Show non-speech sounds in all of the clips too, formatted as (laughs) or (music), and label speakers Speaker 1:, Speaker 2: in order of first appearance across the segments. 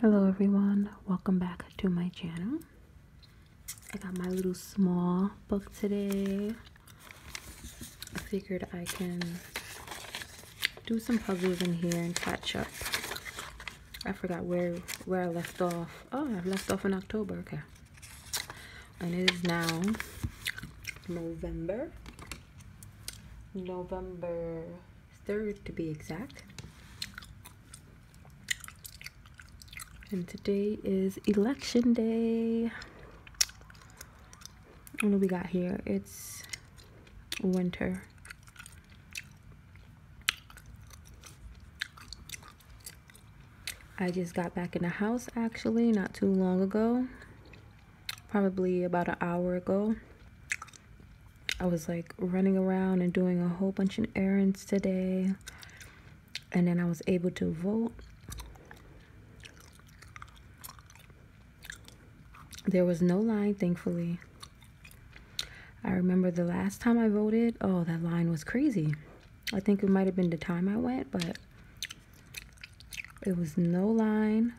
Speaker 1: Hello everyone, welcome back to my channel. I got my little small book today. I figured I can do some puzzles in here and catch up. I forgot where where I left off. Oh, I left off in October, okay. And it is now November. November third to be exact. And today is election day. What do we got here? It's winter. I just got back in the house actually not too long ago probably about an hour ago. I was like running around and doing a whole bunch of errands today. And then I was able to vote. There was no line, thankfully. I remember the last time I voted, oh, that line was crazy. I think it might have been the time I went, but it was no line.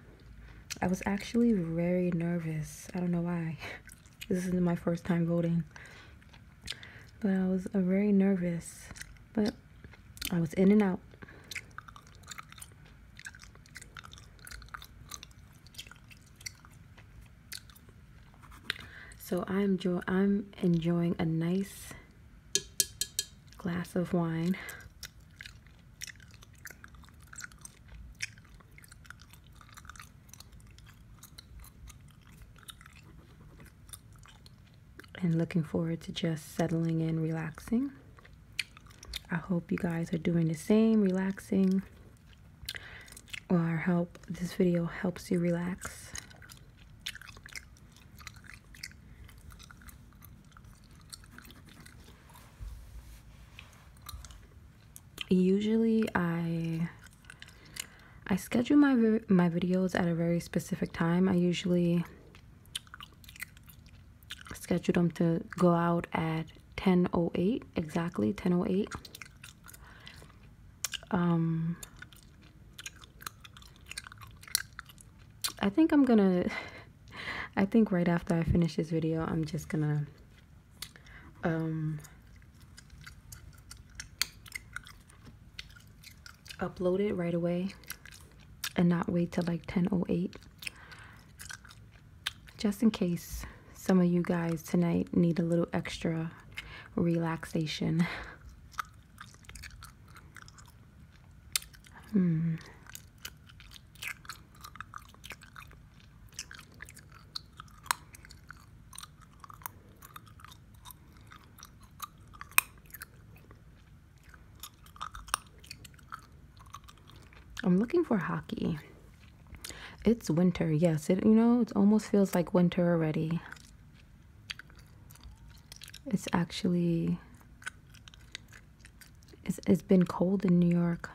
Speaker 1: I was actually very nervous. I don't know why. (laughs) this is my first time voting. But I was uh, very nervous. But I was in and out. So I'm I'm enjoying a nice glass of wine and looking forward to just settling in, relaxing. I hope you guys are doing the same, relaxing, or help this video helps you relax usually i i schedule my my videos at a very specific time i usually schedule them to go out at 1008 exactly 1008 um I think I'm gonna (laughs) I think right after I finish this video I'm just gonna um upload it right away and not wait till like 1008 just in case some of you guys tonight need a little extra relaxation (laughs) hmm I'm looking for hockey. It's winter. Yes, it you know, it almost feels like winter already. It's actually it's, it's been cold in New York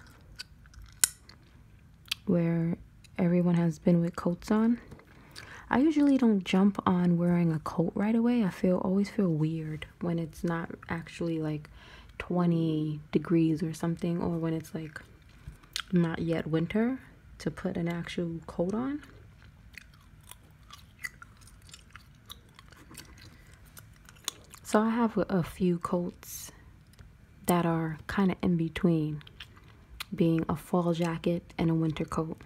Speaker 1: where everyone has been with coats on. I usually don't jump on wearing a coat right away. I feel always feel weird when it's not actually like 20 degrees or something or when it's like not yet winter to put an actual coat on. So I have a, few coats that are kind of in between being a fall jacket and a winter coat.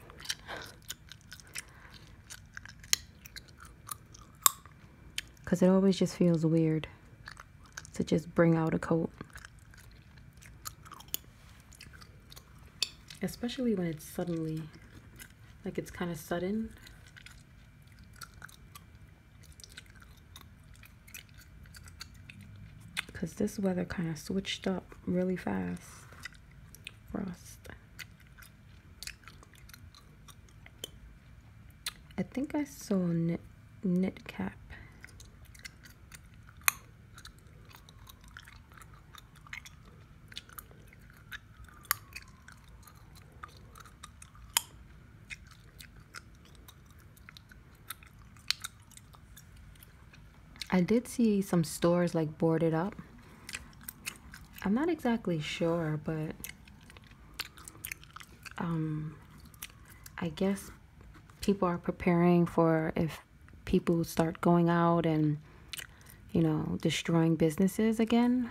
Speaker 1: Because it always just feels weird to just bring out a coat. Especially when it's suddenly like it's kind of sudden. Because this weather kind of switched up really fast. Frost. I think I saw knit, knit cap. I did see some stores like boarded up. I'm not exactly sure, but um, I guess people are preparing for if people start going out and you know, destroying businesses again.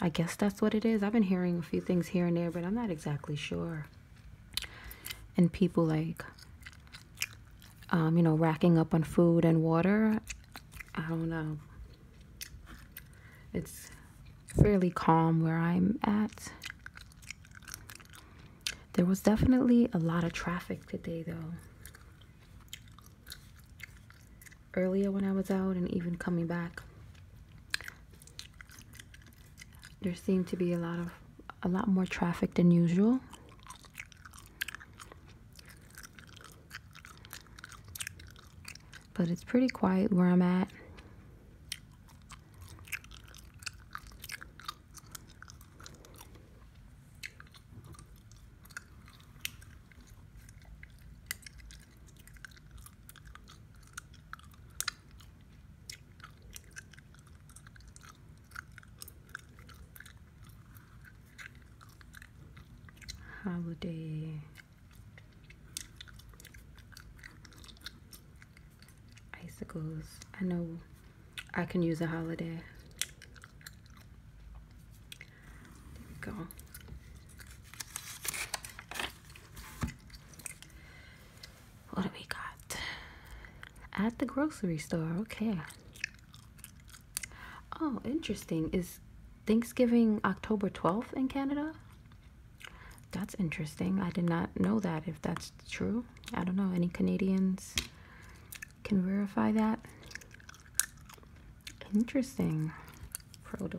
Speaker 1: I guess that's what it is. I've been hearing a few things here and there, but I'm not exactly sure. And people like, um, you know, racking up on food and water. I don't know. It's fairly calm where I'm at. There was definitely a lot of traffic today, though earlier when I was out and even coming back there seemed to be a lot of a lot more traffic than usual but it's pretty quiet where I'm at holiday icicles. I know I can use a holiday. There we go. What do we got? At the grocery store, okay. Oh, interesting. Is Thanksgiving October 12th in Canada? That's interesting. I did not know that if that's true. I don't know. Any Canadians can verify that. Interesting. Produce.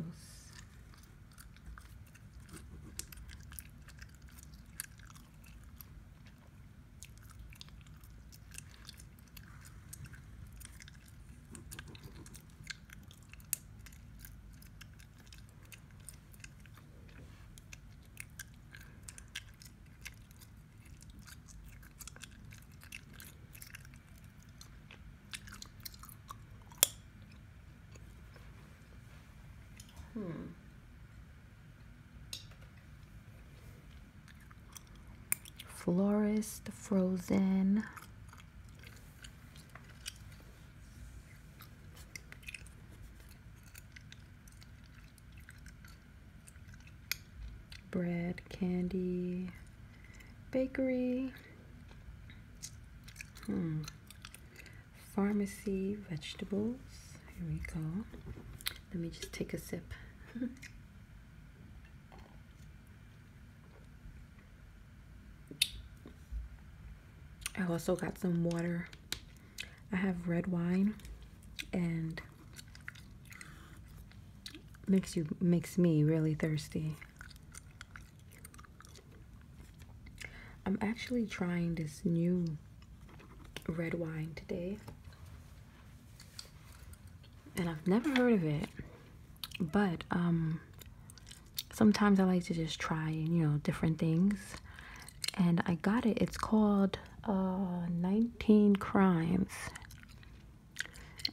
Speaker 1: Hmm. Florist frozen bread, candy, bakery, hmm. pharmacy, vegetables. Here we go. Let me just take a sip. (laughs) I also got some water. I have red wine and makes you makes me really thirsty. I'm actually trying this new red wine today. And I've never heard of it. But um sometimes I like to just try, you know, different things. And I got it. It's called uh 19 Crimes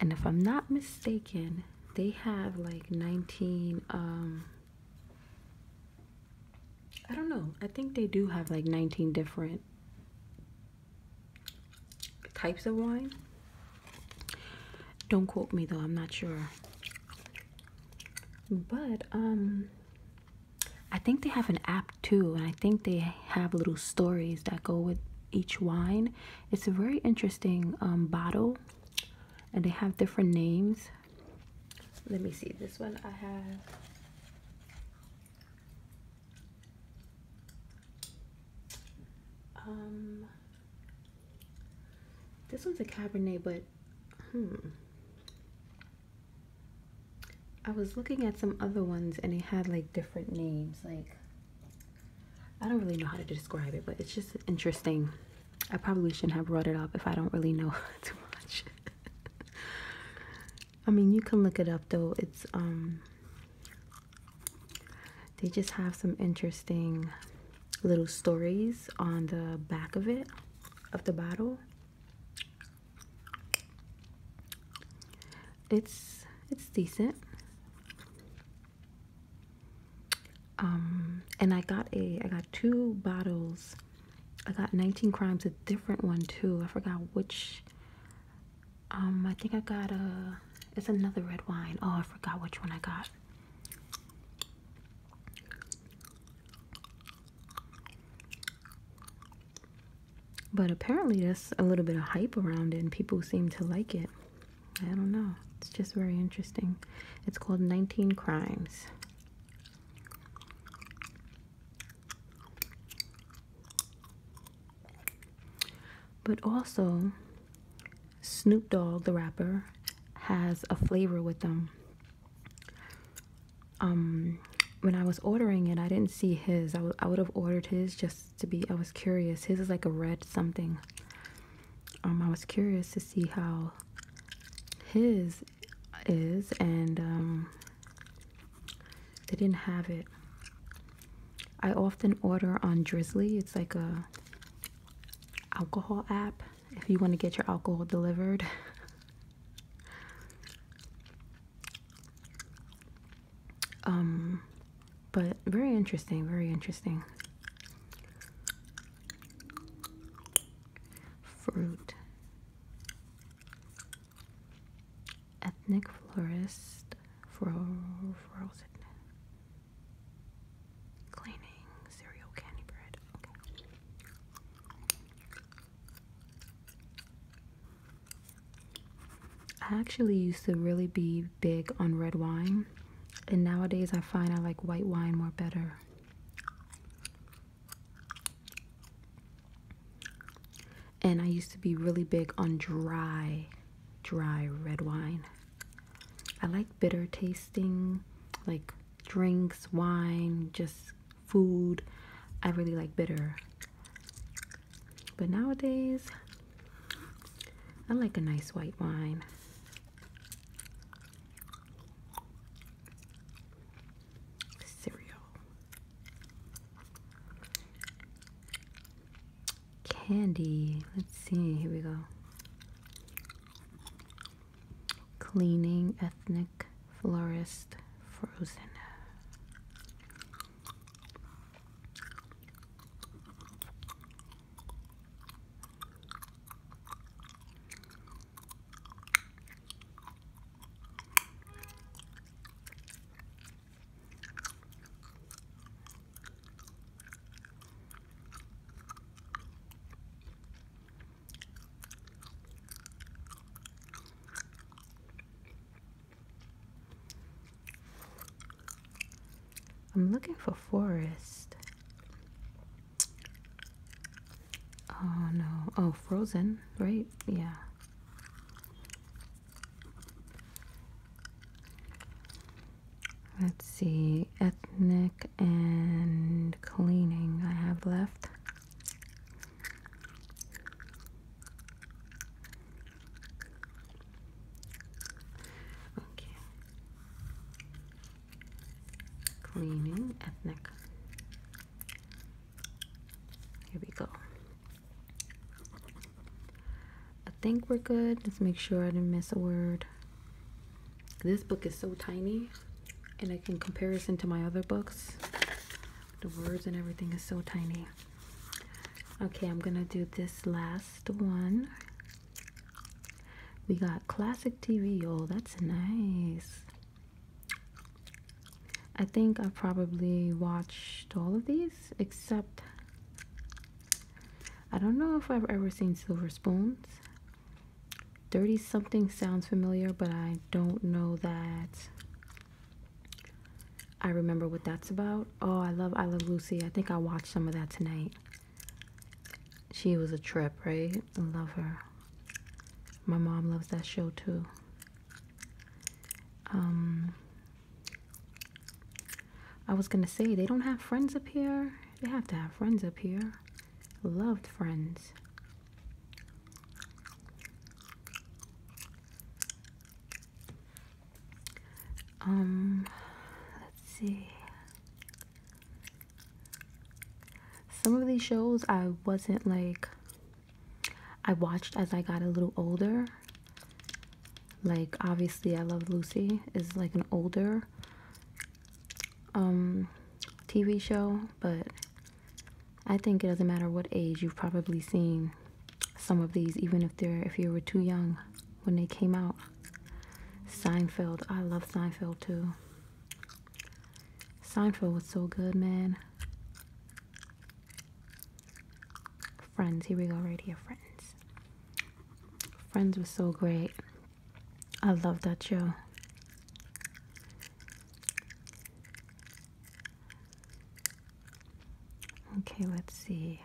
Speaker 1: and if I'm not mistaken, they have like 19 um I don't know. I think they do have like 19 different types of wine. Don't quote me though, I'm not sure. But um I think they have an app too, and I think they have little stories that go with each wine. It's a very interesting um, bottle, and they have different names. Let me see. This one I have. Um, this one's a Cabernet, but hmm. I was looking at some other ones and it had like different names. Like, I don't really know how to describe it, but it's just interesting. I probably shouldn't have brought it up if I don't really know (laughs) too much. (laughs) I mean, you can look it up though. It's, um, they just have some interesting little stories on the back of it, of the bottle. It's it's decent. Um, and I got a I got two bottles. I got 19 crimes, a different one too. I forgot which. Um, I think I got a. It's another red wine. Oh, I forgot which one I got. But apparently, there's a little bit of hype around it, and people seem to like it. I don't know. It's just very interesting. It's called 19 Crimes. But also, Snoop Dogg, the rapper, has a flavor with them um when I was ordering it, I didn't see his. I, I would have ordered his just to be. I was curious. His is like a red something. Um, I was curious to see how his is, and um, they didn't have it. I often order on Drizzly. It's like a alcohol app if you want to get your alcohol delivered. (laughs) Um, but very interesting, very interesting. Fruit. Ethnic florist for frozen cleaning cereal candy bread. Okay. I actually used to really be big on red wine, and nowadays I find I like white wine more better. And I used to be really big on dry, dry red wine. I like bitter tasting, like drinks, wine, just food. I really like bitter. But nowadays, I like a nice white wine. Cereal. Candy. Let's see. Here we go. Cleaning ethnic florist frozen I'm looking for forest. Oh no. Oh, frozen, right? Yeah. Let's see. Ethnic and cleaning I have left. Okay. Cleaning ethnic. Here we go. I think we're good. Let's make sure I didn't miss a word. This book is so tiny, and like in comparison to my other books, the words and everything is so tiny okay i'm gonna do this last one we got classic tv oh that's nice i think i probably watched all of these except i don't know if i've ever seen silver spoons 30 something sounds familiar but i don't know that I remember what that's about. Oh, I love I Love Lucy. I think I watched some of that tonight. She was a trip, right? I love her. My mom loves that show too. Um I was gonna say they don't have friends up here. They have to have friends up here. Loved friends. Um, let's see. Some of these shows I wasn't like, I watched as I got a little older. Like, obviously, I Love Lucy is like an older um TV show, but I think it doesn't matter what age you've probably seen some of these, even if they're if you were too young when they came out. Seinfeld, I love Seinfeld too. Seinfeld was so good, man. Friends, here we go, right here, Friends. Friends was so great. I loved that show. Okay, let's see.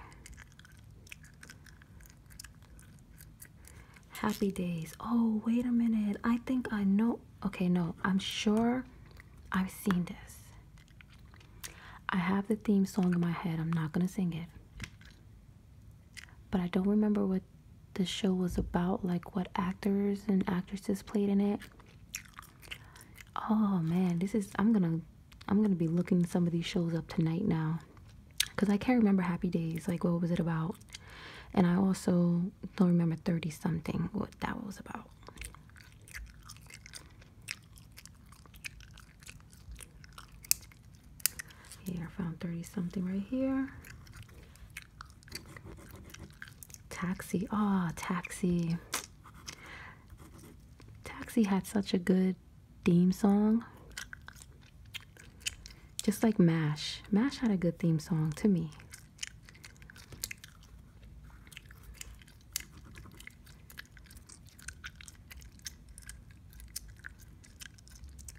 Speaker 1: Happy days. Oh, wait a minute. I think I know. Okay, no, I'm sure I've seen this. I have the theme song in my head. I'm not going to sing it. But I don't remember what the show was about, like what actors and actresses played in it. Oh man, this is I'm gonna I'm gonna be looking some of these shows up tonight now, cause I can't remember Happy Days. Like what was it about? And I also don't remember Thirty Something what that was about. Yeah, I found 30 something right here. Taxi. Ah, oh, Taxi. Taxi had such a good theme song. Just like MASH. MASH had a good theme song to me.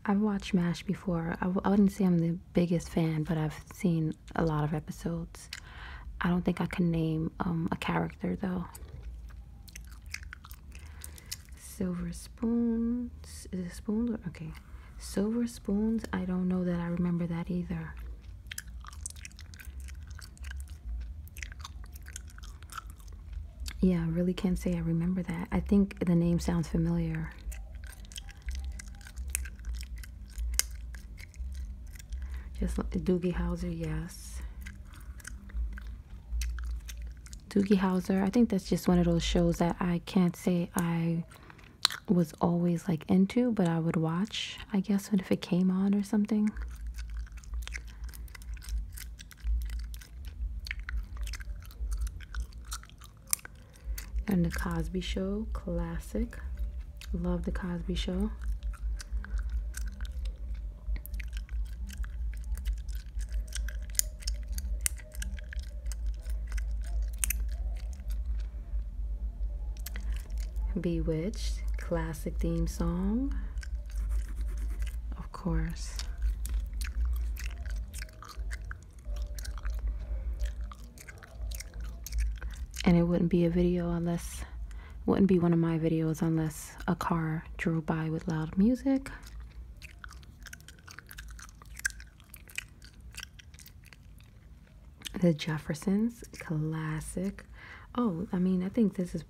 Speaker 1: I've watched MASH before. I w I wouldn't say I'm the biggest fan, but I've seen a lot of episodes. I don't think I can name um, a character though. Silver spoons. Is it spoons? okay. Silver spoons. I don't know that I remember that either. Yeah, I really can't say I remember that. I think the name sounds familiar. Just Doogie Howser, yes. Doogie Howser, I think that's just one of those shows that I can't say I was always like into, but I would watch, I guess, if it came on or something and The Cosby Show, classic. Love The Cosby Show. Bewitched, classic theme song. Of course and it wouldn't be a video unless wouldn't be one of my videos unless a car drove by with loud music the jeffersons classic oh i mean i think this is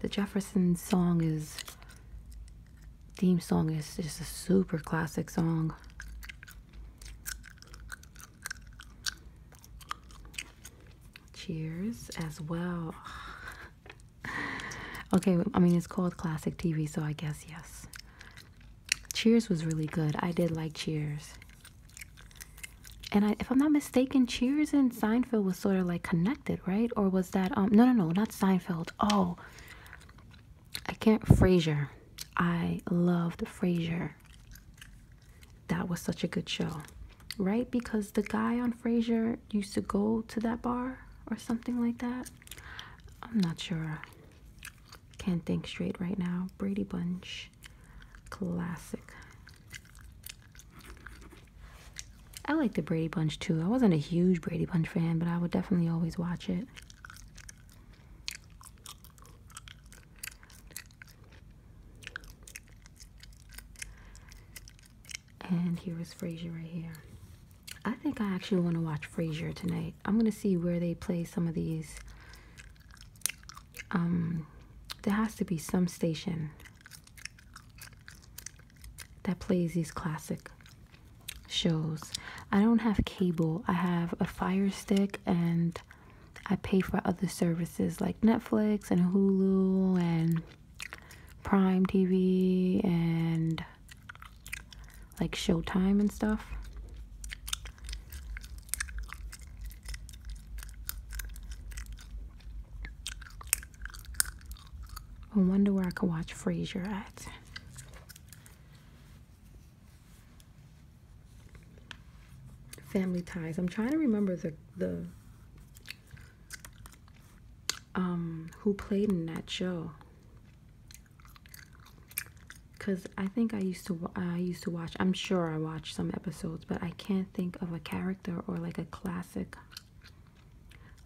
Speaker 1: the jeffersons song is theme song is just a super classic song Cheers as well. (laughs) okay, I mean, it's called classic TV, so I guess yes. Cheers was really good. I did like Cheers. And if I'm not mistaken, Cheers and Seinfeld was sort of like connected, right? Or was that um no no no not Seinfeld? Oh, I can't Frasier. I loved Frasier. That was such a good show, right? Because the guy on Frasier used to go to that bar or something like that. I'm not sure. Can't think straight right now. Brady Bunch, classic. I like the Brady Bunch too. I wasn't a huge Brady Bunch fan, but I would definitely always watch it. And here is Frasier right here. I think I actually want to watch Frasier tonight. I'm gonna see where they play some of these. Um, there has to be some station that plays these classic shows. I don't have cable. I have a Fire Stick and I pay for other services like Netflix and Hulu and Prime TV and like Showtime and stuff. I wonder where I could watch Frasier at. Family ties. I'm trying to remember the the um, who played in that show. Cause I think I used to I used to watch. I'm sure I watched some episodes, but I can't think of a character or like a classic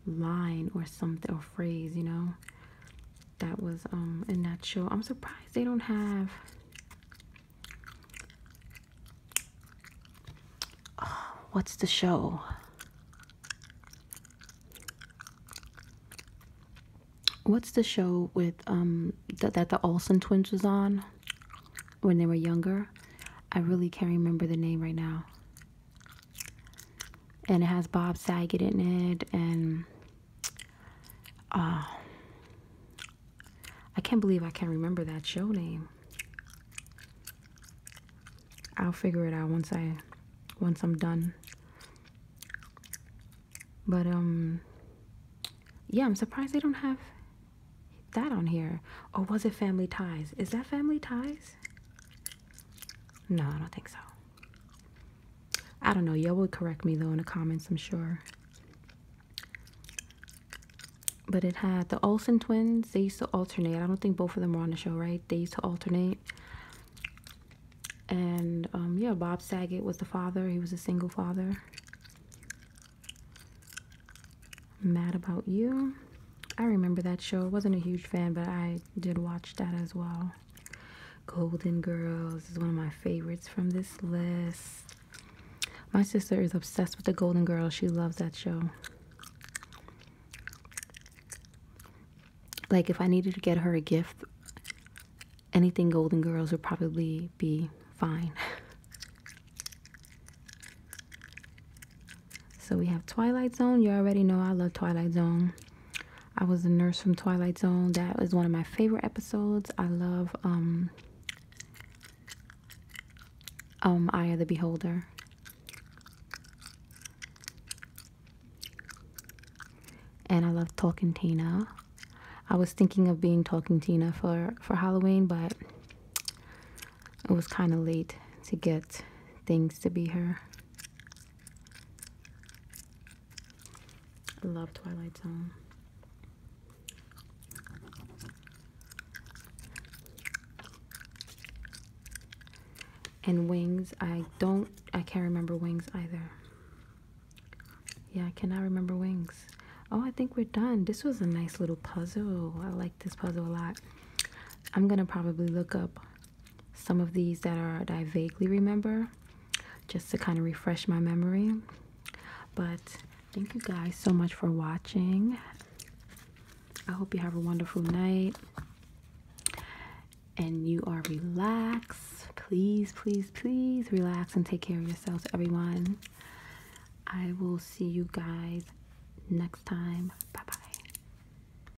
Speaker 1: line or something or phrase. You know, that was um a nacho. I'm surprised they don't have uh, what's the show? What's the show with um th that the Olsen twins was on when they were younger? I really can't remember the name right now and it has Bob Saget in it, and uh, I can't believe I can't remember that show name. I'll figure it out once I once I'm done. But um yeah, I'm surprised they don't have that on here. Or was it Family Ties? Is that Family Ties? No, I don't think so. I don't know. Y'all would correct me though in the comments, I'm sure. But it had the Olsen twins. They used to alternate. I don't think both of them were on the show, right? They used to alternate. And um, yeah, Bob Saget was the father. He was a single father. Mad About You. I remember that show. I wasn't a huge fan, but I did watch that as well. Golden Girls is one of my favorites from this list. My sister is obsessed with the Golden Girls. She loves that show. Like if I needed to get her a gift, anything Golden Girls would probably be fine. (laughs) so we have Twilight Zone. You already know I love Twilight Zone. I was a nurse from Twilight Zone. That was one of my favorite episodes. I love um um the Beholder. And I love Talking Tina. I was thinking of being Talking Tina for for Halloween, but it was kind of late to get things to be her. I love Twilight Zone. And Wings, I don't, I can't remember Wings either. Yeah, I cannot remember Wings. Oh, I think we're done. This was a nice little puzzle. I like this puzzle a lot. I'm gonna probably look up some of these that are that I vaguely remember just to kind of refresh my memory. But thank you guys so much for watching. I hope you have a wonderful night and you are relaxed. Please, please, please relax and take care of yourselves, everyone. I will see you guys next time. Bye bye.